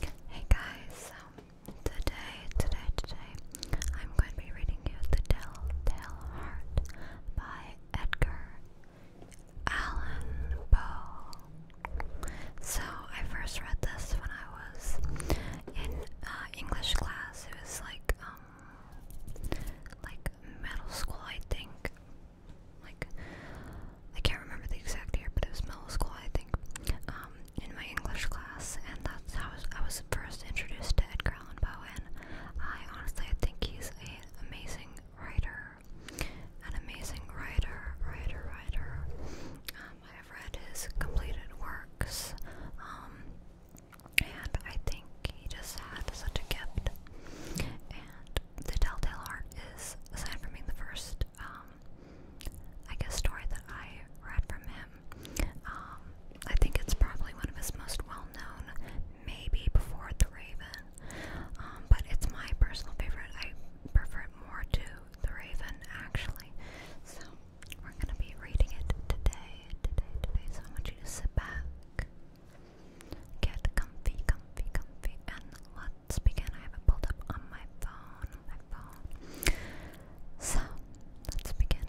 Hey guys, um, today, today, today, I'm going to be reading you The Telltale Heart by Edgar Allan Poe. So, I first read this when I was in uh, English class. It was like, um, like middle school, I think. Like, I can't remember the exact year, but it was middle school, I think, um, in my English class, and that's how I was first introduced to Edgar Allan Poe, and I honestly, I think he's an amazing writer, an amazing writer, writer, writer, um, I have read his completed works, um, and I think he just had such a gift, and The Telltale Heart is, aside from being the first um, I guess, story that I read from him. Um, I think it's probably one of his most well known, maybe before The Raven, um, but it's my personal favorite. I prefer it more to The Raven, actually. So, we're going to be reading it today, today, today. So, I want you to sit back, get comfy, comfy, comfy, and let let's begin. I have it pulled up on my phone. my phone. So let's begin.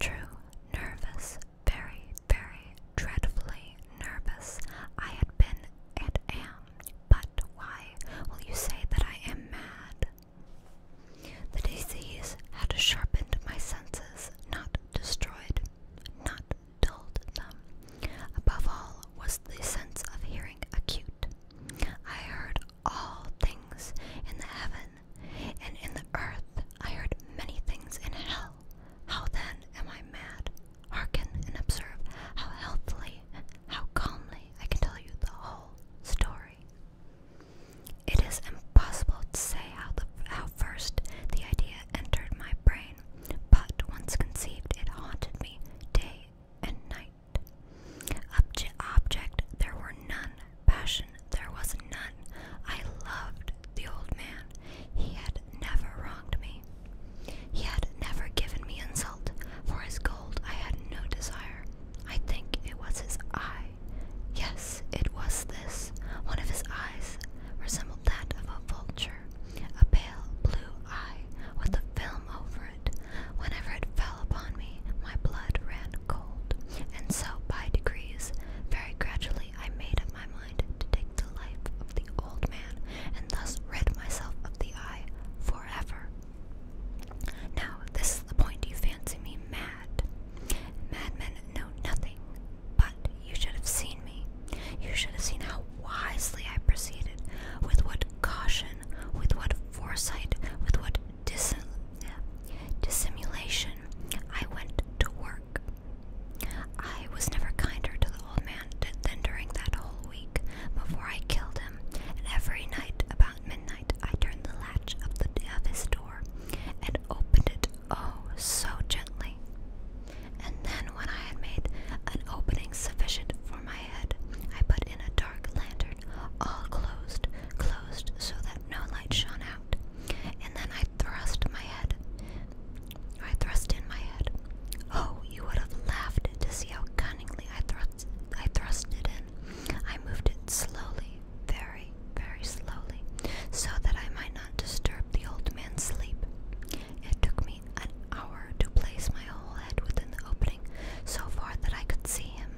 True, nervous, very, very dreadfully nervous. I had been and am, but why will you say that I am mad? The disease had sharpened my senses, not destroyed, not dulled them. Above all was the sense of hearing acute, I heard all things in the heaven and in the earth. I heard many things in hell. How then am I mad? Hearken and observe how healthily, how calmly I can tell you the whole story. It is impossible to say how, the, how first the idea entered my brain, but once conceived, it haunted me day and night. Obje object, there were none. Passion, there was none. I loved the old man. He had never wronged me. He had never given me insult. For his gold, I had no desire. I think it was his eye. Yes, it was this. One of his eyes resembled that of a vulture, a pale blue eye with a film over Whenever it fell upon me, my blood ran cold, and so by degrees, very gradually, I made up my mind to take the life of the old man and thus rid myself of the eye forever. Now, this is the point you fancy me mad. Madmen know nothing, but you should have seen me. You should have seen how wisely I proceeded, with what caution with what foresight, with what dissimulation I went to work. I was never kinder to the old man than during that whole week before I killed him, and every night about midnight I turned the latch of, the, of his door and opened it oh so gently. And then, when I had made an opening sufficient my head, I put in a dark lantern, all closed, closed so that no light shone out. And then I thrust my head. I thrust in my head. Oh, you would have laughed to see how cunningly I thrust I thrust it in. I moved it slowly, very, very slowly, so that I might not disturb the old man's sleep. It took me an hour to place my whole head within the open so far that I could see him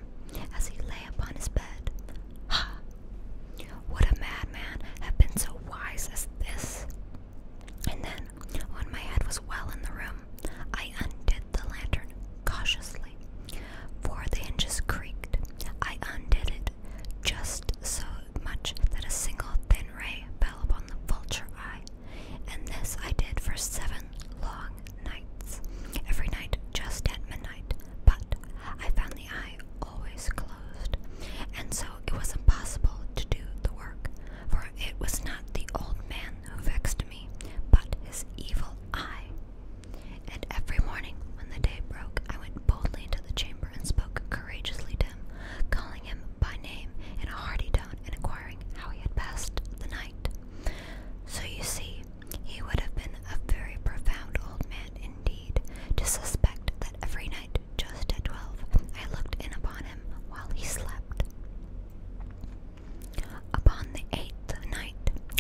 as he lay upon his bed. Ha! Would a madman have been so wise as this? And then, when my head was well in the room, I undid the lantern cautiously, for the hinges creaked. I undid it just so much that a single thin ray fell upon the vulture eye and this I did for seven long nights, every night just at midnight. But I found the eye always closed, and so it was impossible to do the work, for it was not the old man who vexed me, but his evil eye. And every morning when the day broke, I went boldly into the chamber and spoke courageously to him, calling him by name in a hearty tone and inquiring how he had passed the night. So you see, he would have been a very profound old man indeed to suspect that every night, just at twelve, I looked in upon him while he slept. Upon the eighth night,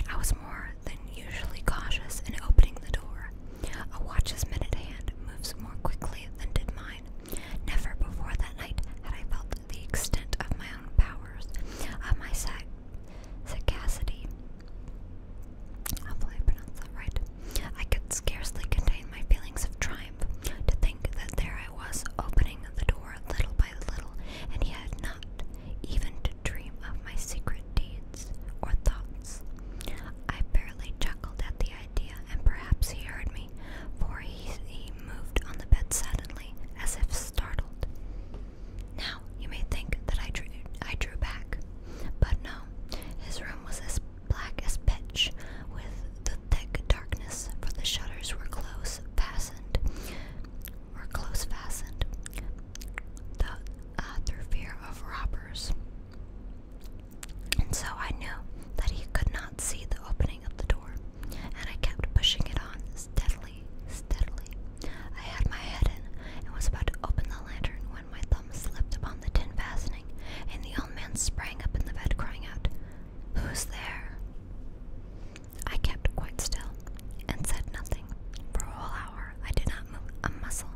I was more than usually cautious in opening the door. A watch's minute hand moves more quickly than did mine. Never before that night had I felt the extent of my own powers, of my sac sagacity. Hopefully, I pronounced that right. I could scarcely contain my feelings of triumph to think that there I was opening the door little by little, and he had not even dreamed of my secret deeds or thoughts. I barely chuckled at the idea, and perhaps he heard me, for he, he moved on the bed suddenly as if startled. Now, you may think that I drew, I drew back, but no, his room was as black as pitch, with the thick darkness, for the shutters were close fastened, were close fastened, the, uh, through fear of robbers. And so I knew that he could see the opening of the door, and I kept pushing it on steadily, steadily. I had my head in and was about to open the lantern when my thumb slipped upon the tin fastening, and the old man sprang up in the bed, crying out, Who's there? I kept quite still and said nothing. For a whole hour, I did not move a muscle,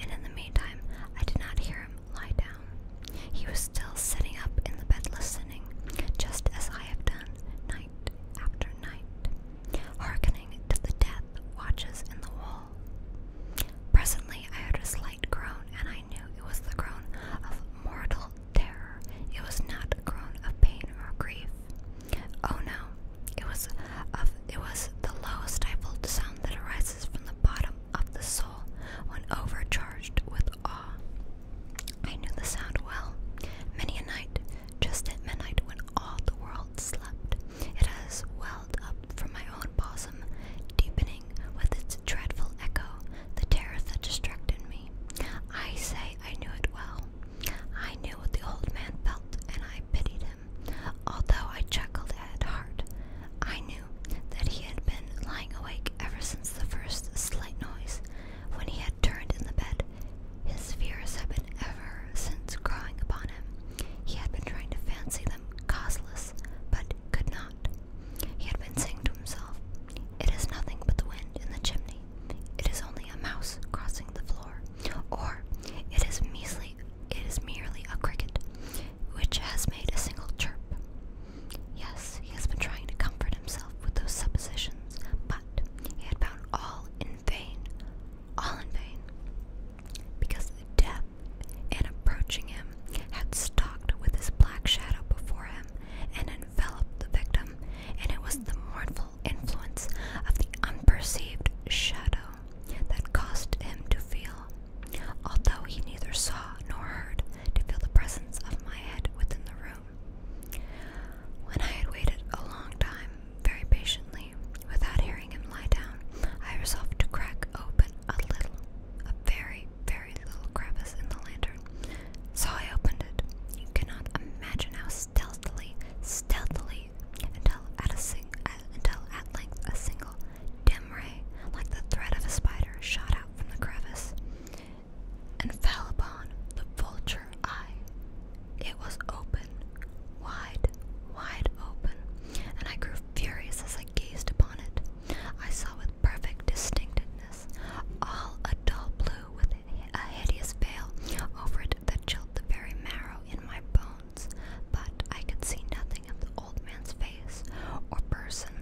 and in the meantime, I did not hear him lie down. He was still sitting up in the bed listening, just as I have done night after night, hearkening to the death watches in the wall. Presently I heard a slight groan, and I knew it was the groan of mortal terror. It was not a groan of pain or grief. Oh no, it was of it was the lowest stifled sound that arises from the bottom of the soul when overcharged with with I knew the sound well. Many a night, just at midnight when all the world slept, it has welled up from my own bosom, deepening with its dreadful echo the terror that distracted me. I say I knew it well. I knew what the old man felt, and I pitied him, although I chuckled at heart. I knew that he had been lying awake ever since the first slight noise, when he had turned in the bed, his fears had been ever since growing upon him. He had been trying to fancy them causeless, but could not. He had been saying to himself, It is nothing but the wind in the chimney. It is only a mouse crossing the floor. Or, it is measly, it is merely a cricket, which has made a single chirp. Yes, he has been trying to comfort himself with those suppositions, but he had found all in vain, all in vain, because the death, in approaching him, had stalked with his black shadow before him and enveloped the victim, and it was the mournful influence of the unperceived shadow that caused him to feel, although he neither saw nor heard, to feel the presence of my head within the room. When I had waited a long time, very patiently, without hearing him lie down, I resolved to crack open a little, a very, very little crevice in the lantern. So I opened it. You cannot imagine how stealthily, stealthily, until at a sing, uh, until at length a single dim ray, like the thread of a spider, shot out from the crevice and fell upon the vulture eye. It was open, wide, wide open, and I grew furious as I gazed upon it. I saw with perfect distinctness all a dull blue with a hideous veil over it that chilled the very marrow in my bones, but I could see nothing of the old man's face or person,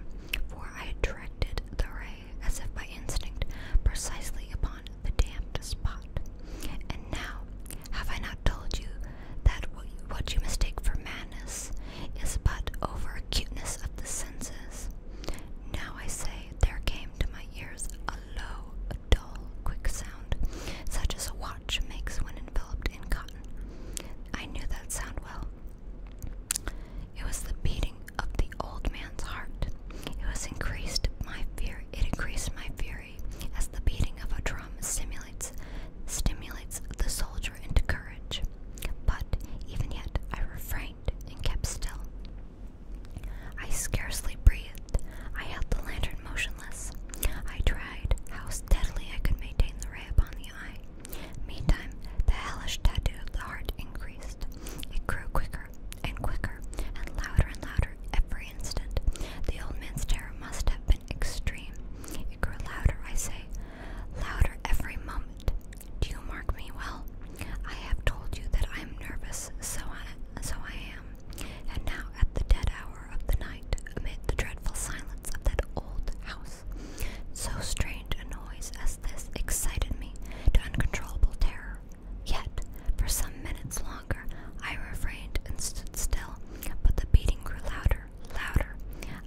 for I had directed the ray as if by instinct, precisely upon the damned spot. And now, have I not told you that what you mistake for madness is but over acuteness of the senses? Now I say, there came to my ears a low, dull, quick sound, such as a watch makes when enveloped in cotton. I knew that sound well. It was the beating of the old man's heart. It was increased my fear. It increased my fury, as the beating of a drum stimulates stimulates the soldier into courage. But even yet, I refrained and kept still. I scarcely breathed. I held the lantern motionless. I tried how steadily I could maintain the ray upon the eye. Meantime, the hellish tattoo of the heart increased. It grew quicker and quicker and louder and louder every instant. The old man's terror must have been extreme. It grew louder, I say, louder every moment. Do you mark me well? I have told you that I am nervous, so I am. And now, at the dead hour of the night, amid the dreadful silence of that old house, so strange a noise as this excited me to uncontrollable terror. Yet, for some minutes longer, I refrained and stood still, but the beating grew louder, louder.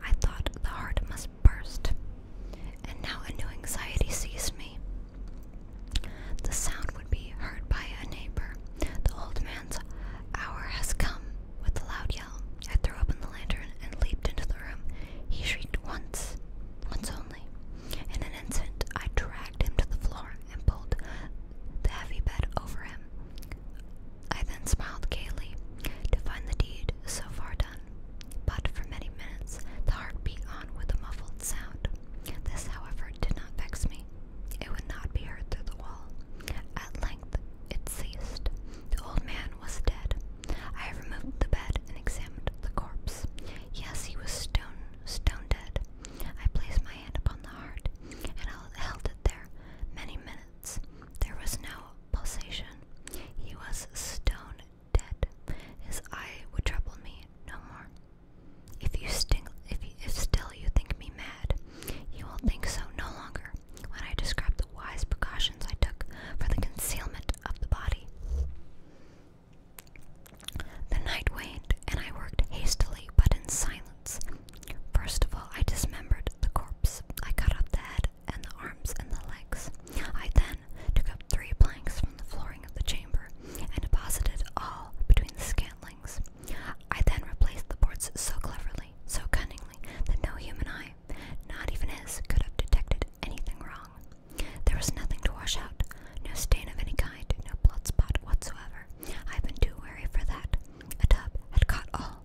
I thought the heart must burst. And now a new anxiety seized me. The sound would be heard by a neighbor. The old man's hour has come. With a loud yell, I threw open the lantern and leaped into the room. He shrieked once, once only. In an instant, I dragged him to the floor and pulled the heavy bed over him. I then smiled gaily to find the deed so far done. But for many minutes, the heart beat on with a muffled sound. This, however, did not vex me. It would not be heard through the wall. At length, it ceased. The old man was dead. I removed the bed and examined the corpse. Yes, he was stone, stone dead. I placed my hand upon the heart and I held it there many minutes. There was no pulsation. He was stone dead. His eye would trouble me no more. If you sting, if still you think me mad, you will think so no longer when I describe the wise precautions I took for the concealment of the body. The night waned, and I worked hastily but in silence. First of all, I dismembered the corpse. I cut off the head and the arms and the legs. I then took up three planks from the flooring of the chamber and deposited all between the scantlings. I then replaced the boards so cleverly, so cunningly, that no human eye, not even his, could have detected anything wrong. There was nothing to wash out, no stain of any kind, no blood spot whatsoever. I've been too wary for that. A tub had caught all.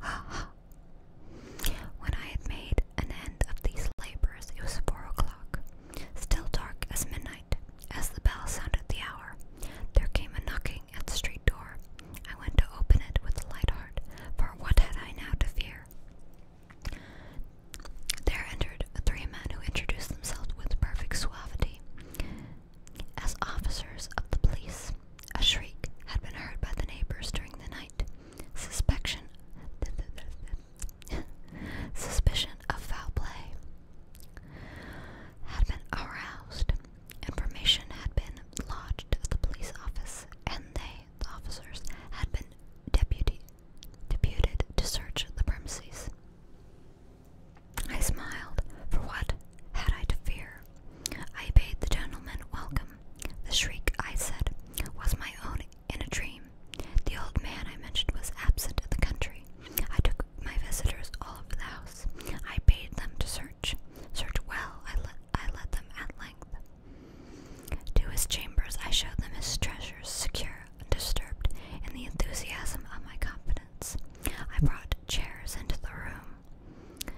Ha ha. When I had made an end of these labors, it was four o'clock, still dark as midnight. As the bell sounded the hour, there came a knocking at the street door. I went to open it with a light heart, for what had I now to fear? There entered three men who introduced themselves with perfect suavity as officers of the police. A shriek had been heard by the neighbors during the night. Suspicion, suspicion of foul play had been aroused. Information had been lodged at the police office, and they, the officers, had been deputy deputed to search the premises. I smiled, for what had I to fear? I bade the gentleman welcome. The shriek, I said, was my own in a dream. The old man I mentioned was absent in the country. I took my visitors all over the house. I bade them to search. Search well, I, le I let them at length. To his chambers I showed them his treasures, secure, undisturbed, in the enthusiasm of my confidence. I brought chairs into the room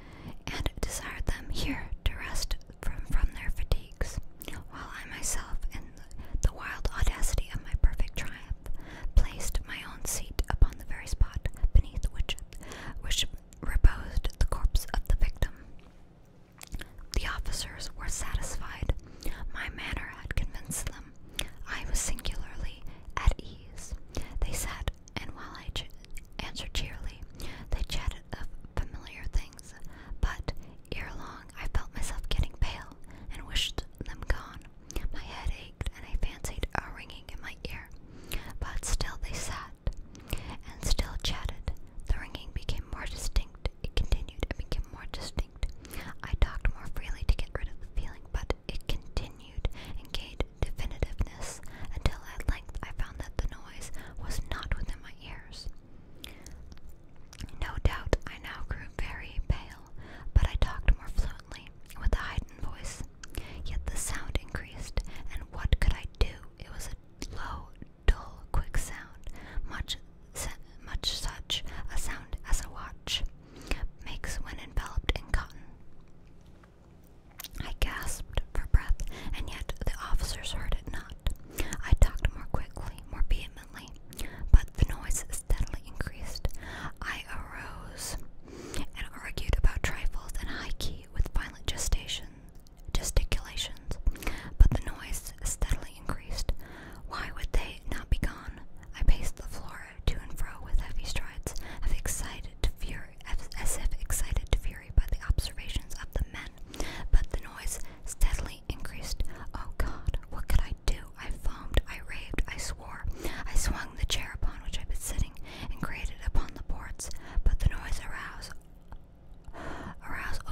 and desired them here to rest from, their fatigues, while I myself, in the, the wild audacity of my perfect triumph, placed my own seat upon the very spot beneath which, which reposed the corpse of the victim. The officers were satisfied. My manner had convinced them. I was singularly at ease. They sat, and while I answered cheerily, they chatted of familiar things. But ere long, I felt myself getting pale and wished them gone. My head ached, and I fancied a ringing in my ear. But still they sat and still chatted. The ringing became more distinct it continued and became more distinct. I talked more freely to get rid of the feeling, but it continued and gained definitiveness until at length I found that the noise was not within my ears. No doubt I now grew very pale, but I talked more fluently, with a heightened voice. Yet the sound increased, and what could I do? It was a low, dull, quick sound, much, much such a sound as a watch makes when enveloped in cotton. I gasped for breath, and yet the officers heard it not. I talked more quickly, more vehemently, but the noise steadily increased. I arose and argued about trifles and high key with violent gestation, gesticulation but the noise steadily increased. Why would they not be gone? I paced the floor to and fro with heavy strides, as excited to fury, as if excited to fury by the observations of the men, but the noise steadily increased. Oh God, what could I do? I foamed, I raved, I swore. I swung the chair upon which I'd been sitting and grated upon the boards, but the noise aroused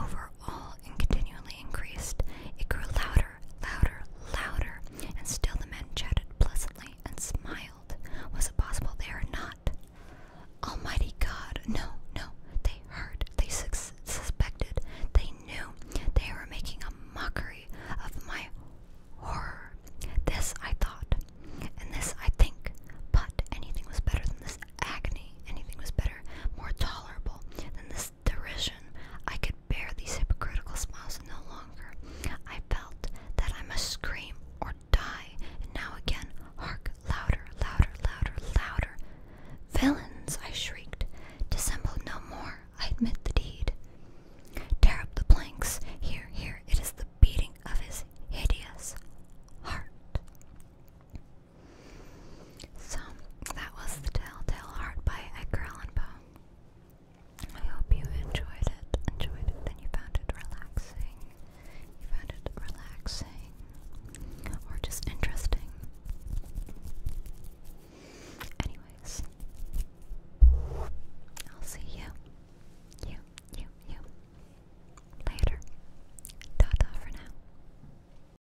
over all and continually increased. It grew louder, louder, louder, and still the men chatted pleasantly and smiled. Was it possible they are not? Almighty God, no, no. They heard, they suspected, they knew. They were making a mockery of my horror. This I thought, and this I think, but anything was better than this agony. Anything was better, more tolerable than this his derision. I could bear these hypocritical smiles no longer. I felt that I must scream or die. And now again, hark, louder, louder, louder, louder. Villains, I shrieked. Dissemble no more. I admit the deed. Tear up the planks. Here, here, it is the beating of his hideous heart. So that was The Telltale Heart by Edgar Allan Poe. I hope you enjoyed it, enjoyed it, you found it relaxing. You found it relaxing or just interesting. Anyways, I'll see you, you, you, you later. Ta for now.